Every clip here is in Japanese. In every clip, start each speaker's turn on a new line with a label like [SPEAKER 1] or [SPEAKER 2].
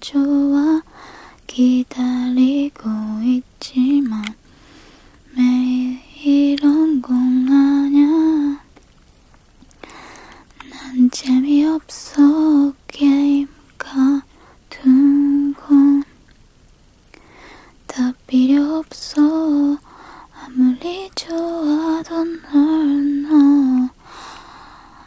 [SPEAKER 1] 좋아 기다리고 있지만 매일 이런 공하냐 난 재미없어 게임 가둔건 다 필요 없어 아무리 좋아도 널너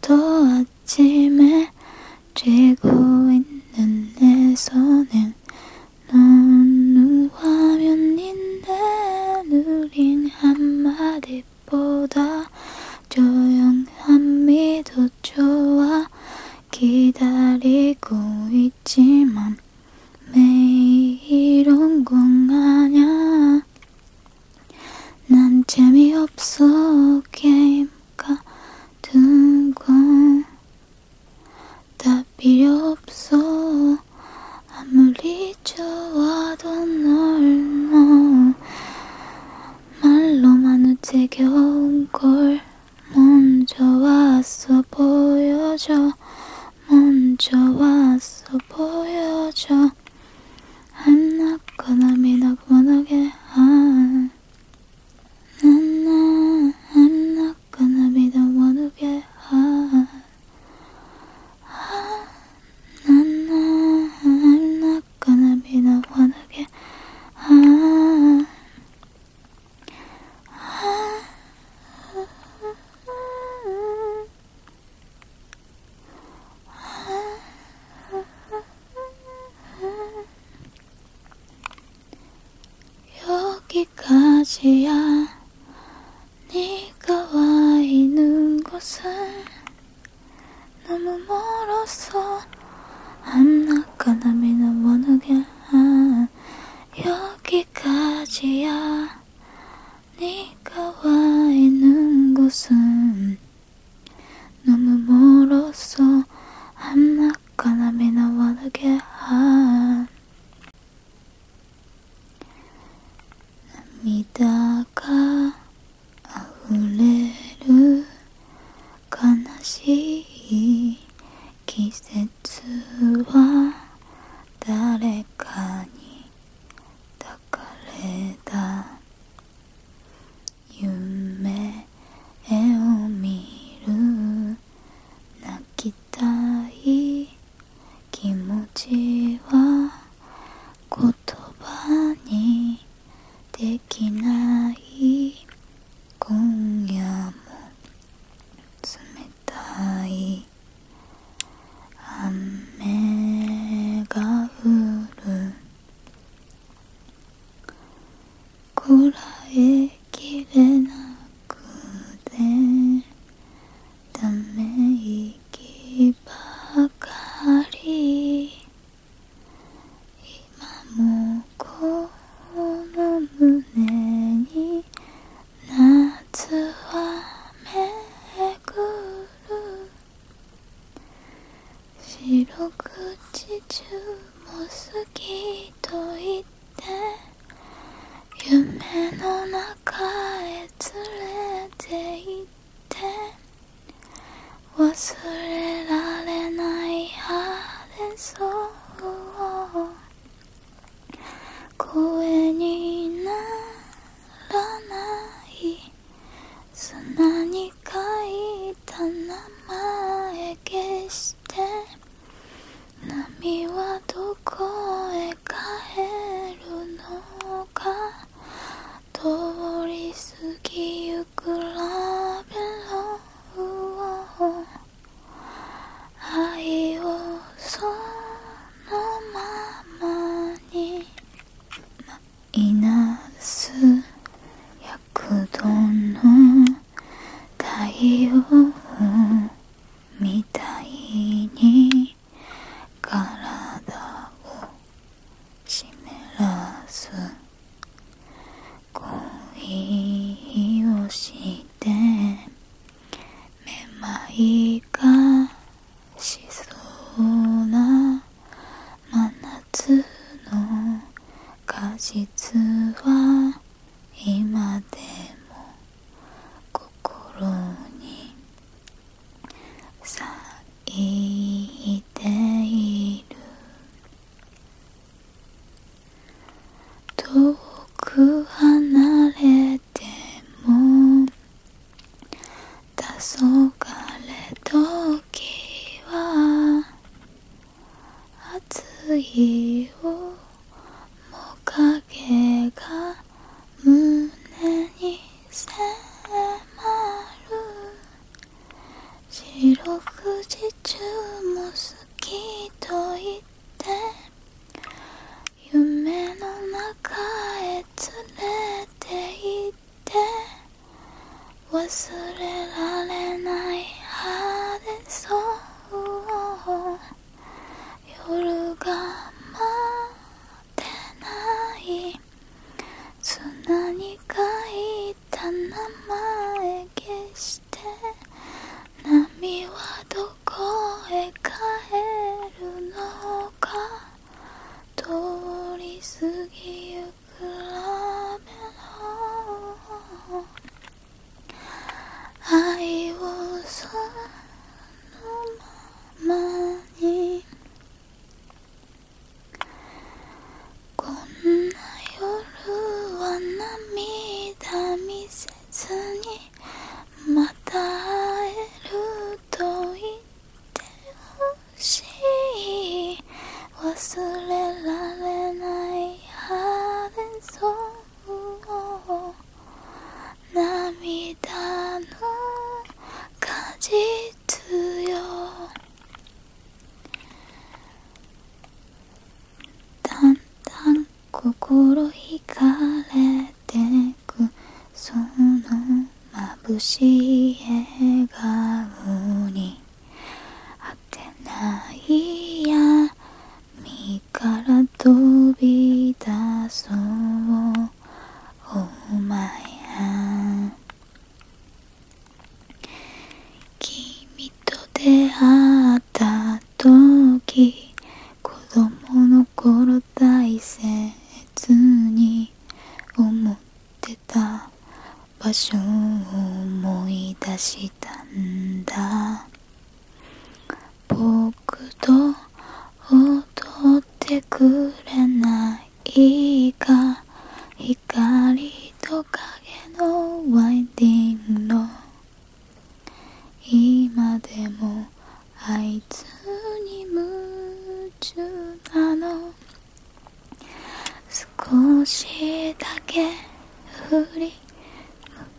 [SPEAKER 1] 또 아침에 쥐고 있는 내 손은 넌 화면인데 느린 한마디보다 조용한 미도 좋아 기다리고 있지만 매일 온공하냐 난 재미없어 게임 두고 다 필요 없어 아무리 좋아도 널너 말로만 우째겨운 걸 먼저 왔어 보여줘 먼저 왔어 보여줘 I'm not gonna be not gonna get on No, no, I'm not gonna be the one to get hurt. no, no, I'm not gonna be the one to get hurt. 아, 여기까지야 네가 와 있는 곳은 너무 멀었어 I'm not gonna be the one again 여기까지야 네가 와 있는 곳은 너무멀었어 I'm not gonna be the one again 涙が溢れる悲しい季節は誰かに抱かれた夢を見る泣きたい気持ちは言葉にできない今夜も冷たい雨が降るこらえきれなくてため息ばかり今もこの胸に夏はめぐる白口中も好きと言って夢の中へ連れて行って忘れられない派でそう声にならない砂に書いた名前消して波はどこへ帰るのか通り過ぎゆくラベルを愛をそのままに、いなす躍動の太陽みたいに体を湿らす恋をしてめまいがしそうな真夏の果実は今でも心に咲いている遠く離れても黄昏時は暑いをもかげが胸に迫る四六時中も好きと言って夢の中へ連れて行ってっ忘れられない晴れそう夜が待ってない砂に書いた名前消して波はどこへ帰るのか通り過ぎゆくラメロ愛をそのままにこんな夜は涙見せずにまた会えると言ってよしい忘れられないハーデンソンを涙の果実よだんだん心惹かれてくその眩しい笑顔にあてないや身から飛び出そうお前君と出会った時子供の頃大切に思ってれた場所を思い出したんだ僕と踊ってくれないか光と影のワイディングの今でもあいつに夢中なの少しだけ振り向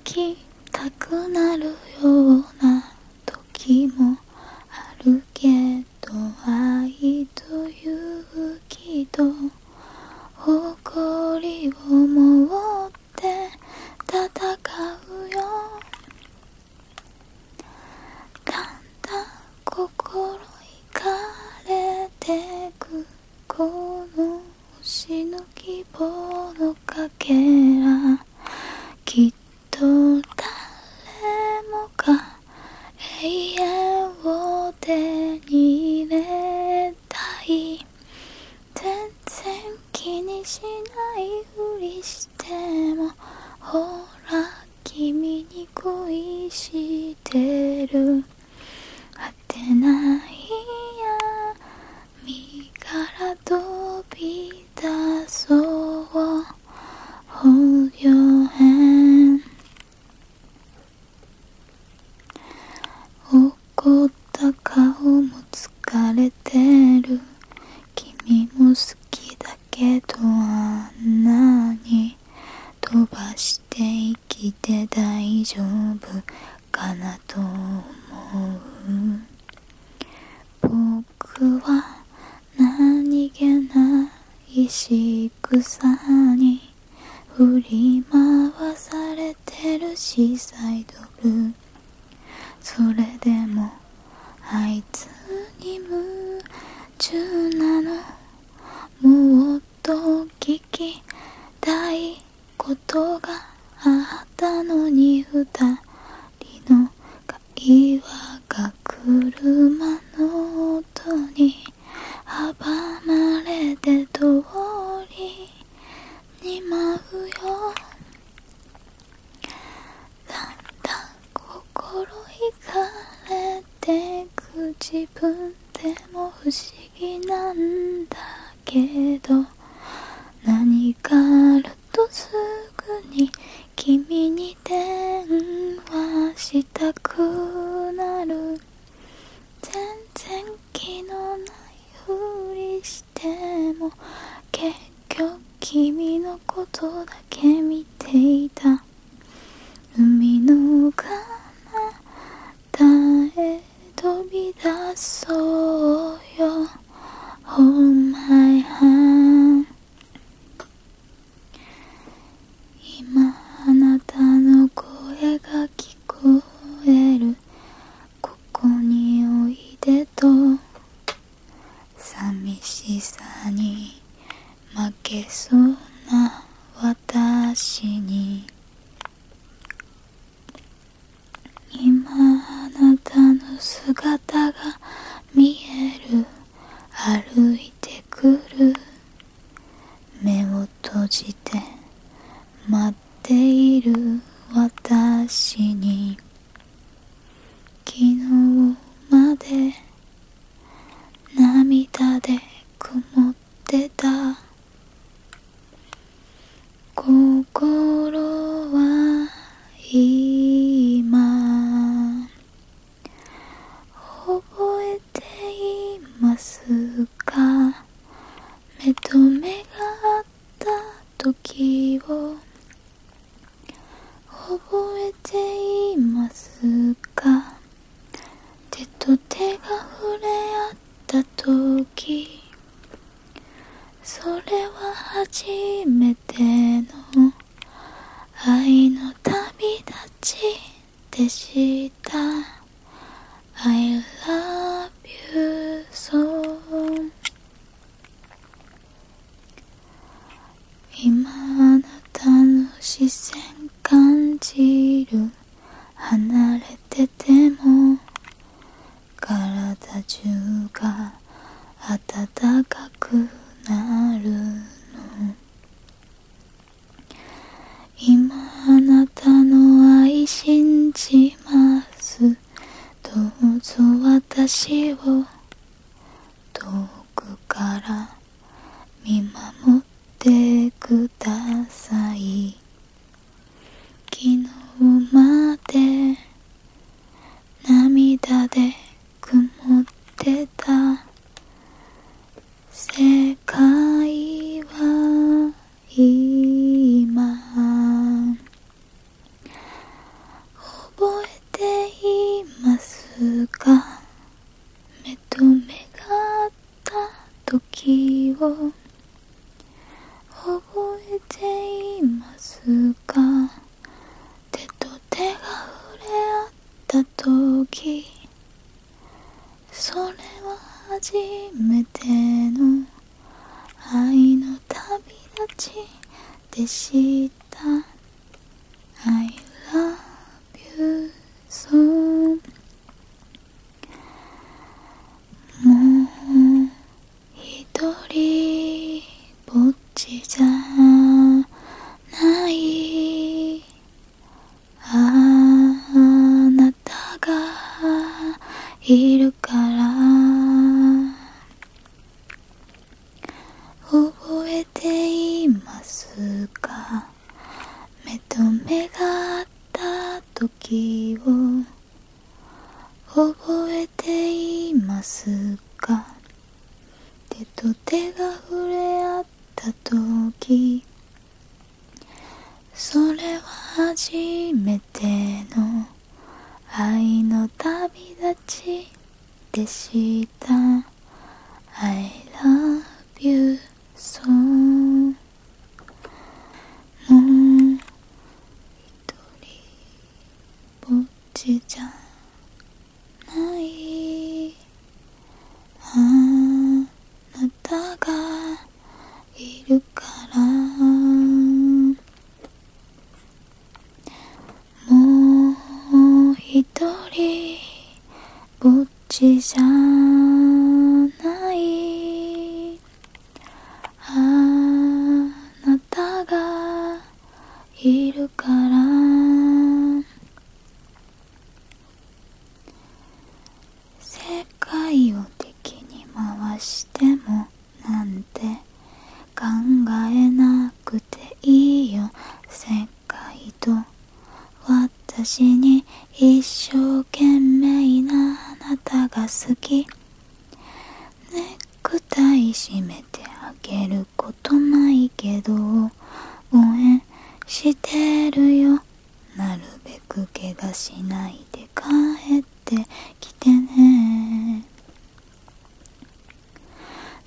[SPEAKER 1] きたくなるような時もあるけど愛と勇気と誇りを持って戦うよだんだん心いかれてくこの星の希望のかけらきっと誰もが永遠を手に入れたい全然気にしないふりしてしもほら君に恋してる当てないや。身から飛び出そう Hold 怒った顔も疲れてる君も好きだけど。けどあ飛ばして生きて大丈夫かなと思う僕は何気ない仕草に振り回されてるしサイドルそれでもあいつに向17もっと聞きたいことがあったのに二人の会話が車の音に阻まれて通りに舞うよだんだ、心惹かれてく自分でも不思議なんだけど何かあるとすぐに君に電話したくなる全然気のないふりしても結今日君のことだけ見ていた海の彼方へ飛び出そうよ o l my hand 今あなたの声が聞こえるここにおいでと寂しさに負けそうな私に今あなたの姿が見える歩いてくる目を閉じて待っている私に昨日まで涙で曇ってた心は今覚えていますか目と目があった時を覚えていますか手と手が触れ合った時それは初めての愛の旅立ちでした「I love you so」今あなたの視線感じる離れてても体中が温かくなるの今あなたの愛信じますどうぞ私を遠くから見守ってください昨日まで涙で曇ってた世界は今覚えていますか目と目が合った時を覚えていますか手と手が触れ合った時それは初めての愛の旅立ちでした」「I love you so」「もうひとりぼっちじゃない」「あなたがいるから」覚えていますか目と目があった時を覚えていますか手と手が触れ合った時それは初めての愛の旅立ちでした」「I love you so」「もう一人ぼっちじゃない」「あなたがいるから」もう一人ぼっちじゃないあなたがいるから世界を敵に回してもなんて考えなくていいよ世界と私に一生懸命なあなたが好きネクタイ締めてあげることないけど応援してるよなるべく怪我しないで帰ってきてね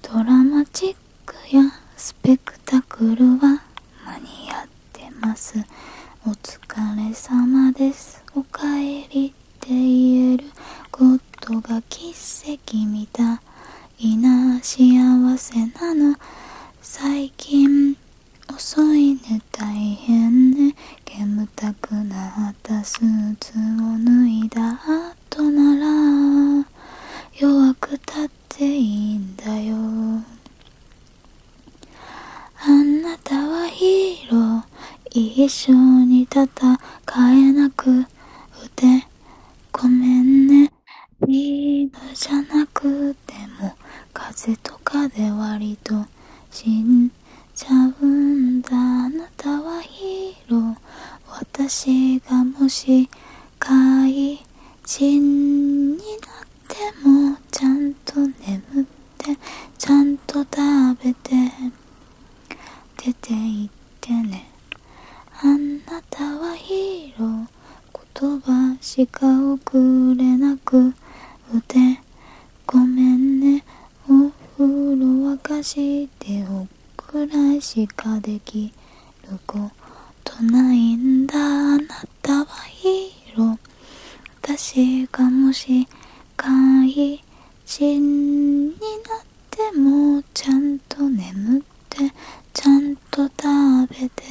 [SPEAKER 1] ドラマチックやスペクタクルは間に合ってますお疲れ様ですおかえりって言えることが奇跡みたいな幸せなの最近遅いね大変ね煙たくなったスーツを脱いだとなら弱くたっていいんだよあなたはヒーロー一緒に戦えなくてごめんねリードじゃなくても風とかで割としんちゃうんだあなたはヒーロー私がもし怪人になってもちゃんと眠ってちゃんと食べて出て行ってねあなたはヒーロー言葉しか送れなくてごめんねお風呂沸かしておくらいしかできることないんだあなたはヒーロー私がもし怪人になってもちゃんと眠ってちゃんと食べて